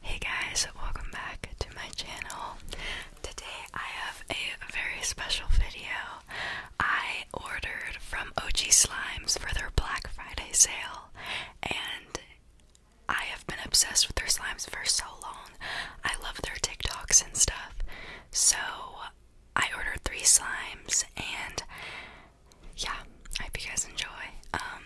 Hey guys, welcome back to my channel. Today I have a very special video. I ordered from OG Slimes for their Black Friday sale, and I have been obsessed with their slimes for so long. I love their TikToks and stuff. So I ordered three slimes, and yeah, I hope you guys enjoy. Um,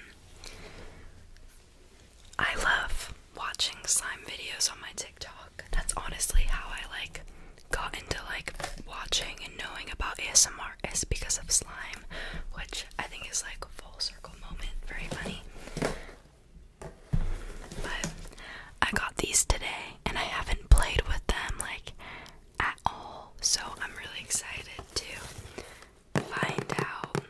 I love watching slime videos on my TikTok. That's honestly how I like got into like watching and knowing about ASMR is because of slime, which I think is like a full circle moment. Very funny. But I got these today and I haven't played with them like at all. So I'm really excited too find out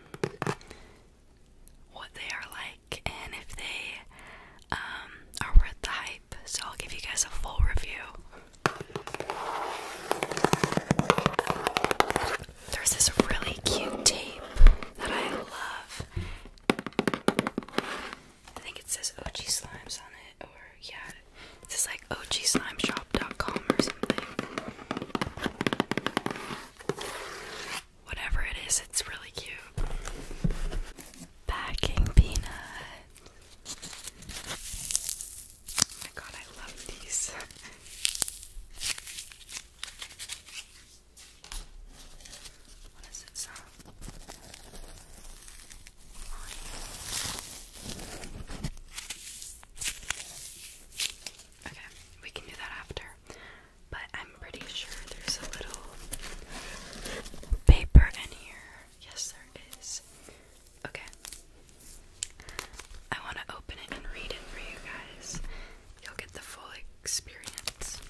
what they are like and if they um, are worth the hype. So I'll give you guys a full review. There's this really cute tape that I love. I think it says OG Slimes on it, or yeah, this is like ogSlimeShop.com or something. Whatever it is, it's really cute. Packing peanuts. Oh my god, I love these. what does it sound? Line. Okay, we can do that after. But I'm pretty sure there's a little paper in here. Yes, there is. Okay. I want to open it and read it for you guys. You'll get the full experience.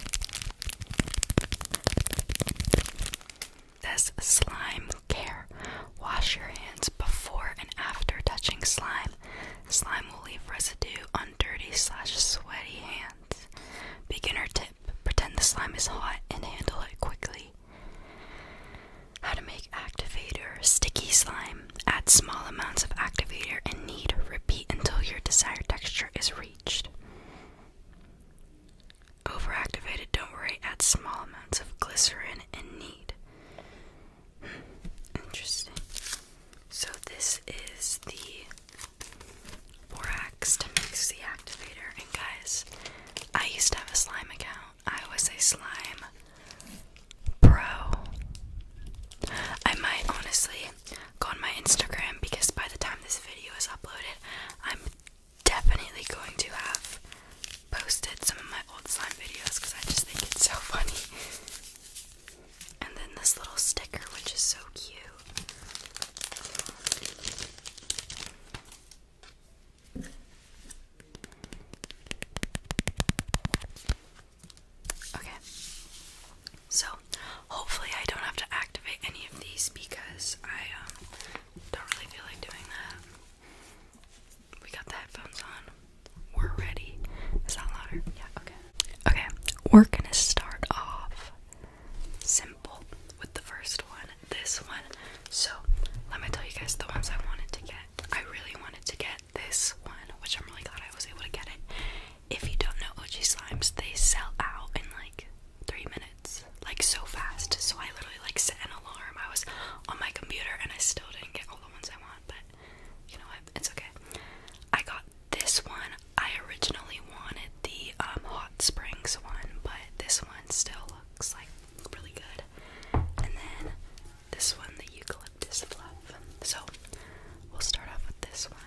This slime care. Wash your hands before and after touching slime. Slime will leave residue on dirty sweaty hands. Beginner tip pretend the slime is hot and handle it quickly. How to make activator sticky slime. Add small amounts of activator and knead. Repeat until your desired texture is reached. Overactivated, don't worry, add small amounts of glycerin and in need. Hmm, interesting. So, this is the borax to mix the activator. And, guys, I used to have a slime account, I was a slime pro. I might honestly go on my Instagram because by the time this video is uploaded, I'm definitely going to have posted some of my old slime videos because I just think it's so funny. And then this little sticker, which is so cute. Okay. So, hopefully, I don't have to activate any of these because I um, don't really feel like doing that. We got the headphones on. We're ready. Is that louder? Yeah, okay. Okay, we're gonna start off simple with the first one, this one. So, let me tell you guys the ones I wanted to get. I really wanted to get this one, which I'm really glad I was able to get it. If you don't know OG Slimes, they sell out in like three minutes, like so fast. So, I literally like set an alarm. I was on my computer and I still didn't get all the ones I want, but you know what? It's okay. I got this one. I originally wanted the um, hot springs one, but this one still looks like really good. And then this one, the eucalyptus love. So we'll start off with this one.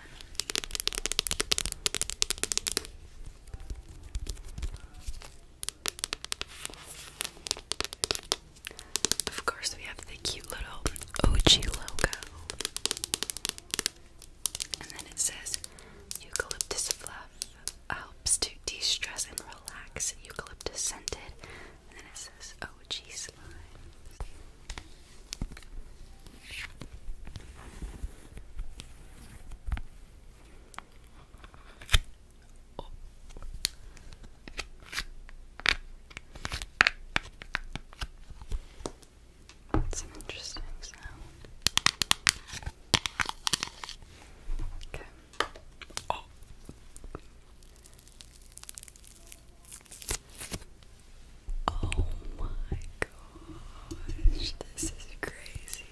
Of course, we have the cute little OG logo. And then it says eucalyptus fluff helps to de stress and relax, eucalyptus scented. And then it says OG slime up. That's an interesting sound. Okay. Oh, oh my gosh, this is crazy.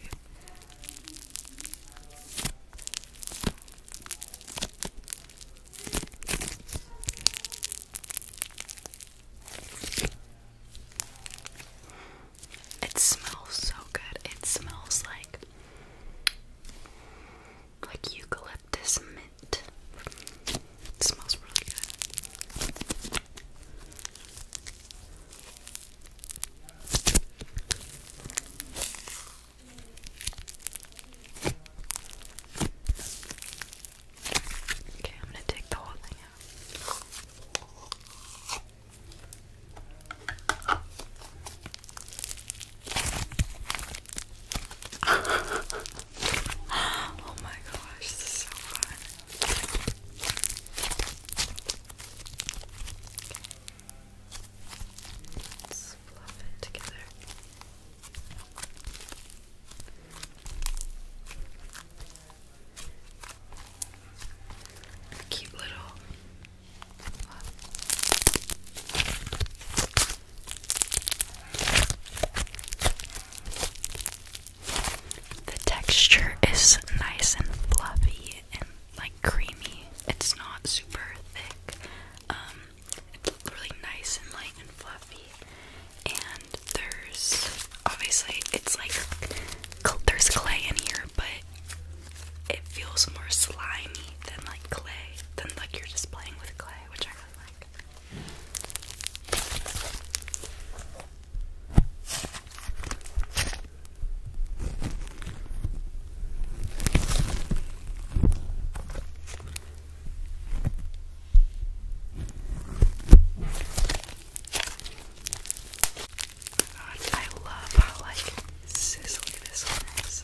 It smells so good. It smells like like eucalyptus mint. It smells really good. Okay, I'm going to take the whole thing out. oh my gosh, this is so fun fluff it together. cute little fluff. The texture is nice and fluffy and like creamy. It's not super thick. Um, it's really nice and light fluffy. And there's obviously it's like there's clay in here, but it feels more slimy than like clay, than like you're just playing with clay, which I like. God, I love how like sizzly this one is.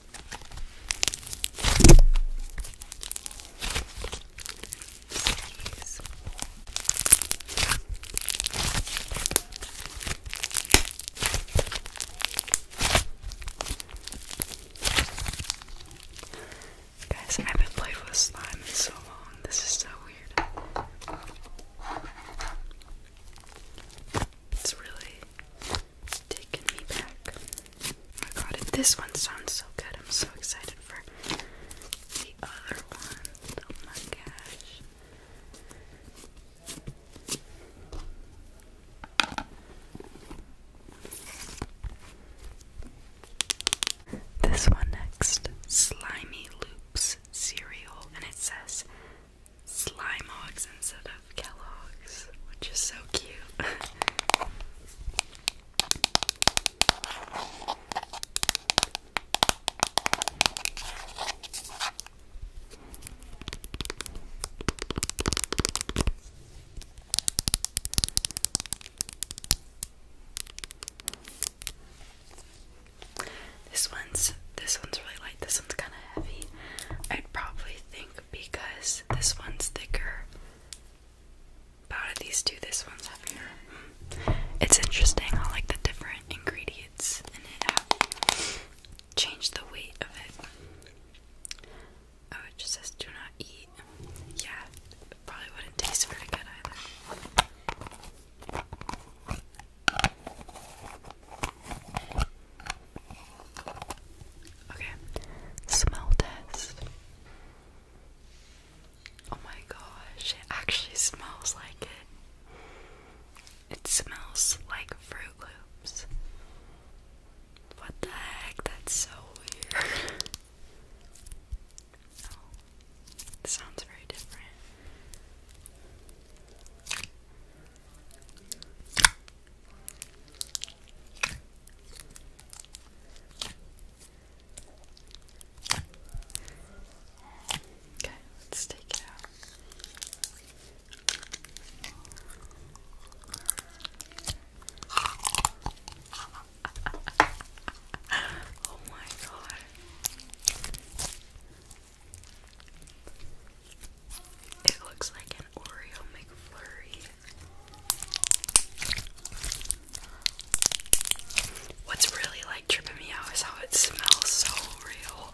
Guys, I haven't played with slime in so long. This is so weird. It's really taken me back. Oh my god, this one sounds so good. I'm so excited for the other one. Oh my gosh. This one next, Slimy Loops cereal, and it says slime hogs instead of Kellogg's, which is so cute. This one's this one's really light. This one's kind of heavy. I'd probably think because this one's thicker but these two, this one's heavier. It's interesting I like the different ingredients in it have changed the weight of it. Oh, it just says do not eat. Yeah, probably wouldn't taste very good either. Okay, smell test. Oh my gosh, it actually smells like it. It smells like Fruit Loops. What the heck? That's so weird. oh, it sounds very different. Okay, let's take it out. oh my god. It looks like an Oreo McFlurry. What's really like tripping me out is how it smells so real.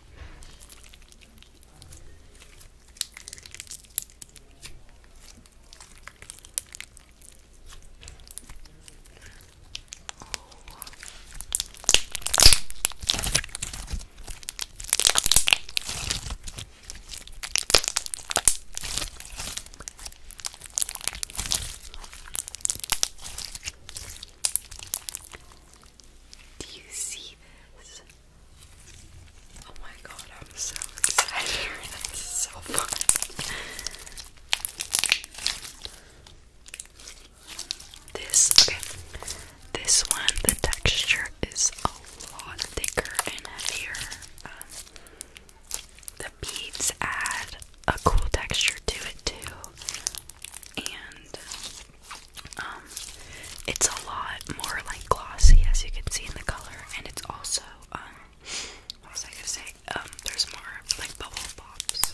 Do you see this? Oh my god, I'm so excited. This okay. This one, the texture is a lot thicker and heavier. Um, the beads add a cool texture to it too, and um, it's a lot more like glossy, as you can see in the color. And it's also, um, what was I gonna say? there's more like bubble pops.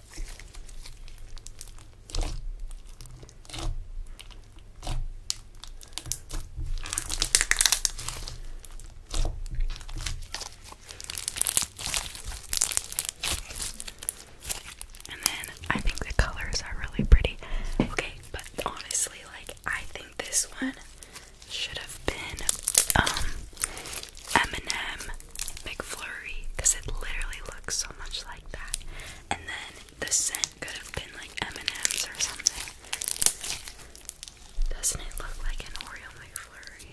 And then I think the colors are really pretty. Okay, but honestly, like I think this one should have been um m McFlurry because it literally looks so much like that. And then the scent could have been like M&M's or something. Doesn't it look like an Oreo McFlurry?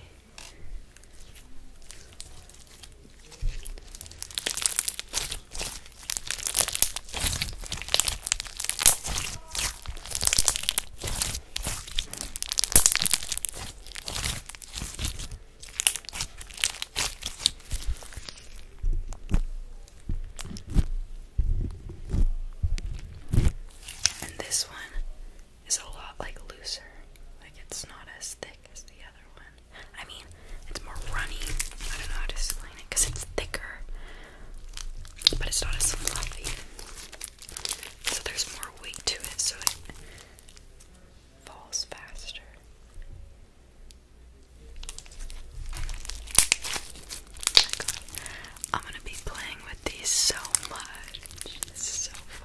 And this one is a lot like looser. Like it's not as thick as the other one. I mean, it's more runny. I don't know how to explain it because it's thicker. But it's not as fluffy. So there's more weight to it, so it falls faster. Oh I'm gonna be playing with these so much. This so fun.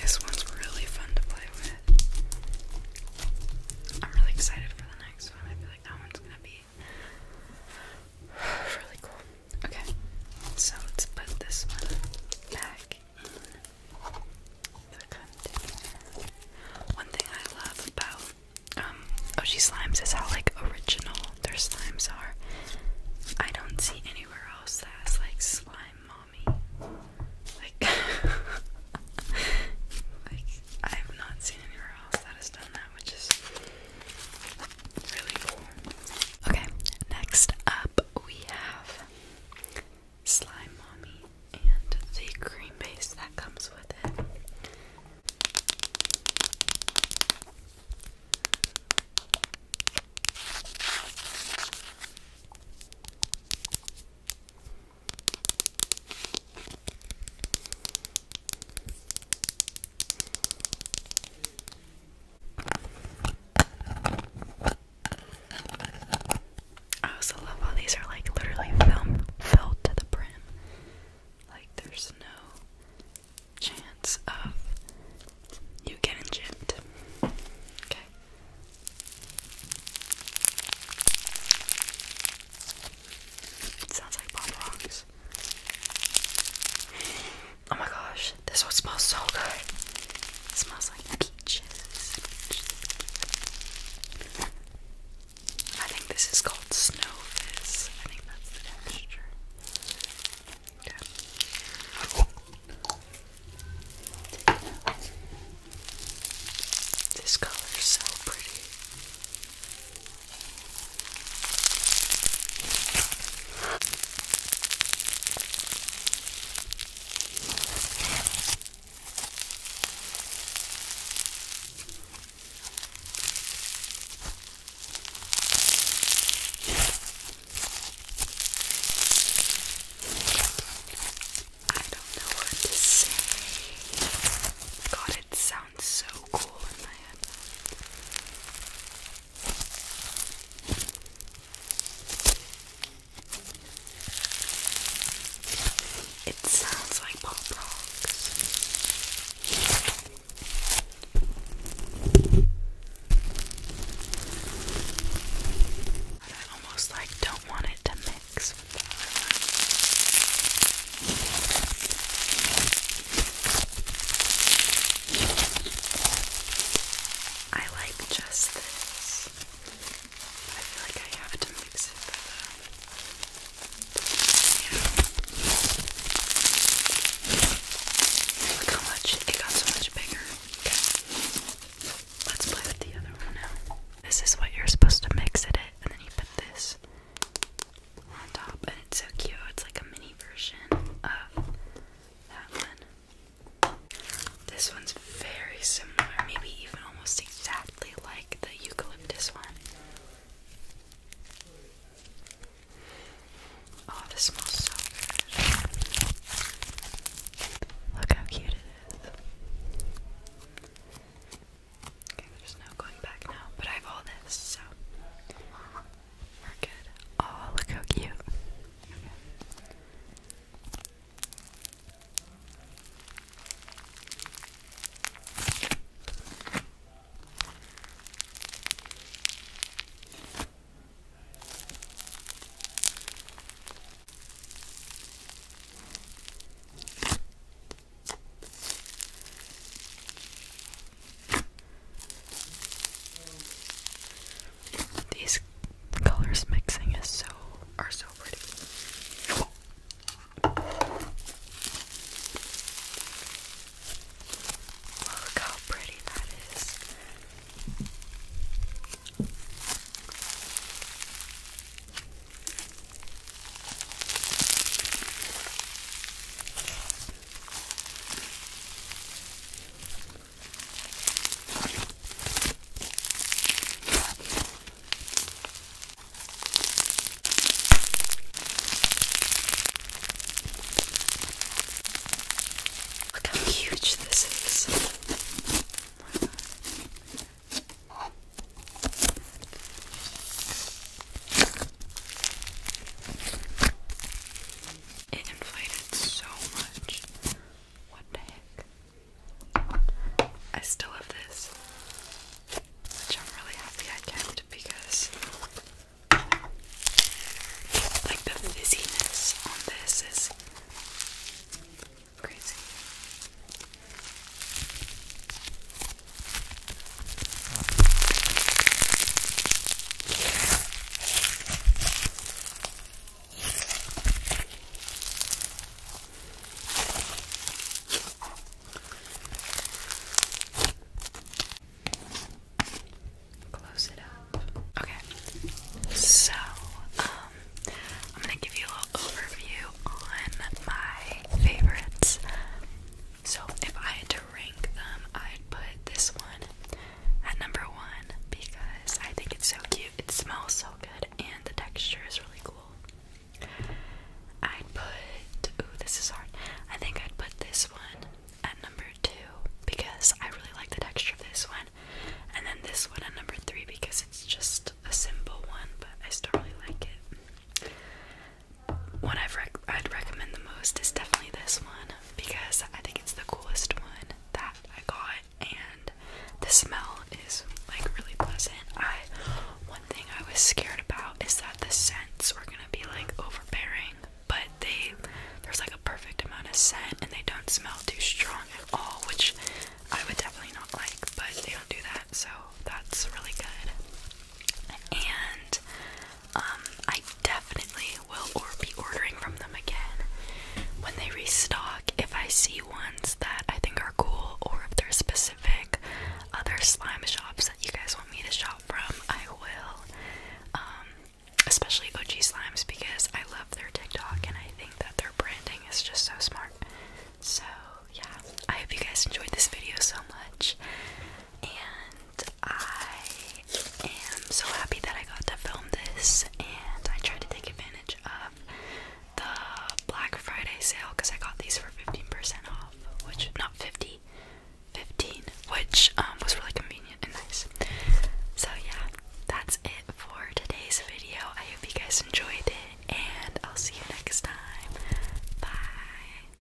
This one's really fun to play with. I'm really excited for the next one. I feel like that one's gonna be really cool. Okay, so let's put this one back in the container. One thing I love about um oh, slimes is how like original their slimes are. I don't see anywhere else that's like slime mommy. Like like I have not seen anywhere else that has done that, which is really cool. Okay, next up we have Slime Mommy and the cream base that comes with it. I also love how these are like literally film filled to the brim. Like there's no chance of you getting gypped. Okay. It sounds like pop rocks. Oh my gosh, this one smells so good. It smells like peaches. I think this is called Snowfish. I think that's the texture. Okay. This color is so pretty. I don't know what to say. God, it sounds so cool in my head. It sounds like pop rocks. I almost like don't want it to mix I like just this. I feel like I have to mix it for the. Look how much it got so much bigger. Okay. Let's play with the other one now. This is what you're supposed to mix it in, and then you put this on top, and it's so cute. It's like a mini version of that one. This one's very similar, maybe even almost exactly like the eucalyptus one. Oh, this smells so good. Look how cute it is. Okay, there's no going back now, but I have all this, so we're good. Oh, look how cute. Okay. These colors mixing is so are so pretty. Look how pretty that is. Look how huge this is. Oh my God. It inflated so much. What the heck? I still have this, which I'm really happy I kept because, like, the fizziness on this is crazy. Okay. So, um, I'm gonna give you a little overview on my favorites. So if I had to rank them, I'd put this one at number one because I think it's so cute. It smells so good and the texture is really cool. I'd put ooh, this is hard. I think I'd put this one at number two because I really like the texture of this one. And then this one at number three because it's just a simple one, but I still really like it one i would recommend the most is definitely this one because I think it's the coolest one that I got, and the smell is like really pleasant. I one thing I was scared about is that the scents were gonna be like overbearing, but they there's like a perfect amount of scent and they don't smell too strong at all, which I would definitely not like, but they don't do that, so that's really good. And um, I definitely will or be ordering from them again when they restock if I see ones that I think are cool or if there's specific other slime shops that you guys want me to shop from, I will. Um, especially OG Slimes because I love their TikTok and I think that their branding is just so smart. So, yeah, I hope you guys enjoyed this video so much. And I am so happy that I got to film this, and I tried to take advantage of the Black Friday sale because I got these for 15% off, which, not 50, 15, which um, was really convenient and nice. So, yeah, that's it for today's video. I hope you guys enjoyed it, and I'll see you next time. Bye.